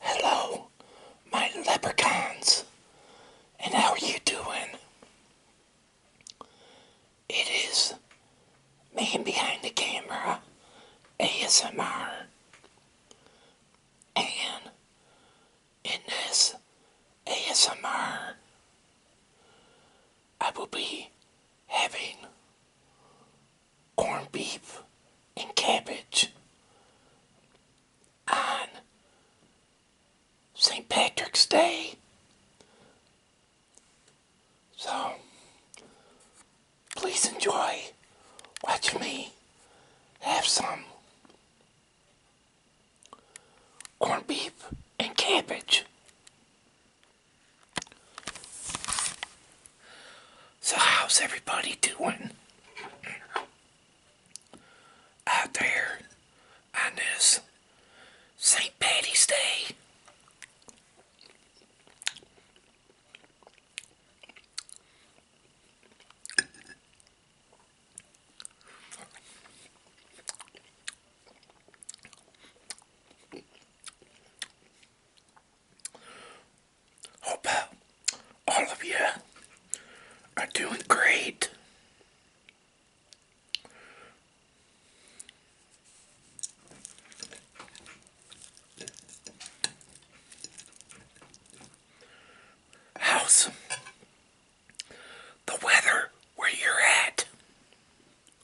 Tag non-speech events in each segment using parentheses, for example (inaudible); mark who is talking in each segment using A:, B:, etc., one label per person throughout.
A: Hello, my leprechauns, and how are you doing? It is man behind the camera, ASMR, and in this ASMR, I will be having corned beef and cabbage on St. Patrick's Day. So, please enjoy Watch me have some corned beef and cabbage. So how's everybody doing out there on this St. Patty's Day? Hope uh, all of you are doing great. How's the weather where you're at?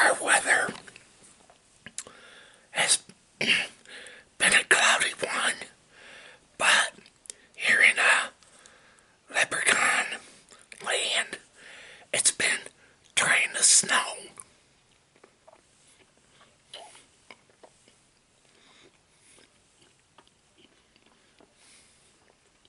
A: Our weather has been a cloudy one, but here in uh, Leprechaun land, it's been trying to snow.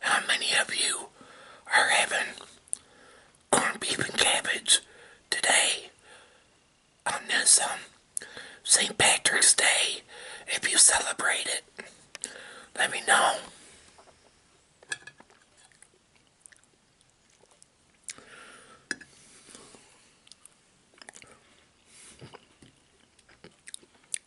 A: How many of you are having corned beef and cabbage today on St. Patrick's Day if you celebrate it? Let me know.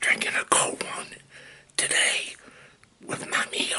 A: Drinking a cold one today with my meal.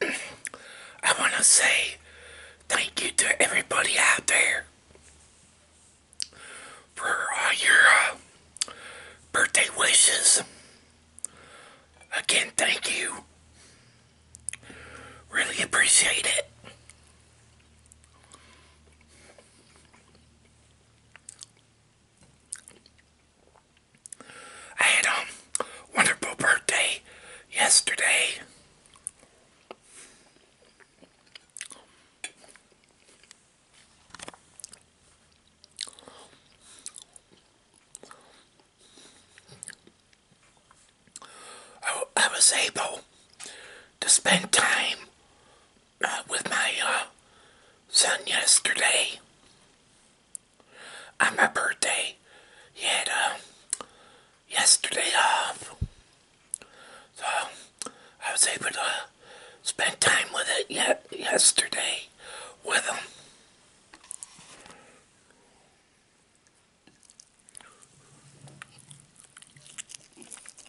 A: I want to say thank you to everybody out there for all your uh, birthday wishes. Again, thank you. Really appreciate it. I had a wonderful birthday yesterday. I was able to spend time with my uh, son yesterday on my birthday. He had uh, yesterday off, so I was able to spend time with it yet yesterday with him.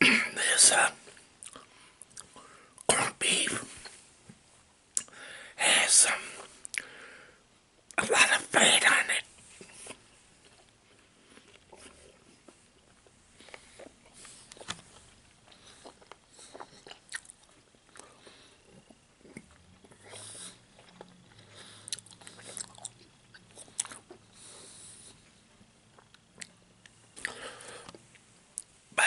A: this corned beef has some um, a lot of fat on it. But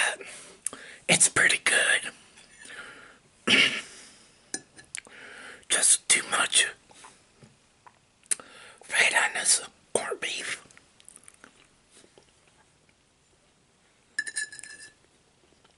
A: it's pretty good. (clears throat) Just too much fat on this corned beef.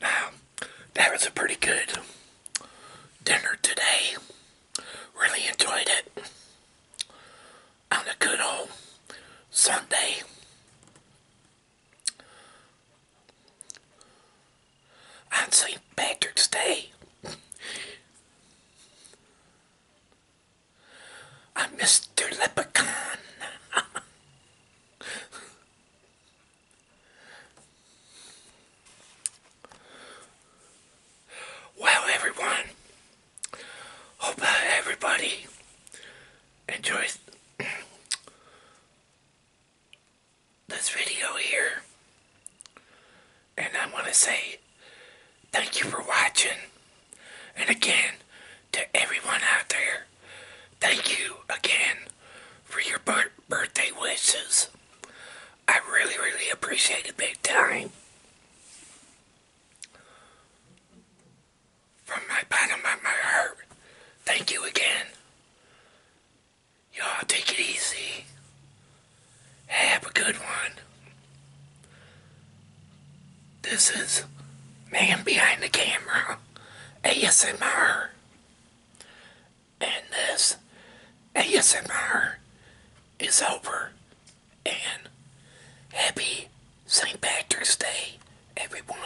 A: Now, that was a pretty good dinner today. Really enjoyed it on a good old Sunday. I'm St. Patrick's Day. I'm Mr. Leprechaun. well, everyone, hope uh, everybody enjoys this video here. And I want to say thank you for watching. And again, to everyone out there, thank you again for your birthday wishes. I really, really appreciate it big time. From my bottom of my heart, thank you again. Y'all take it easy. Have a good one. This is Man Behind the Camera ASMR. And this ASMR is over. And happy St. Patrick's Day, everyone.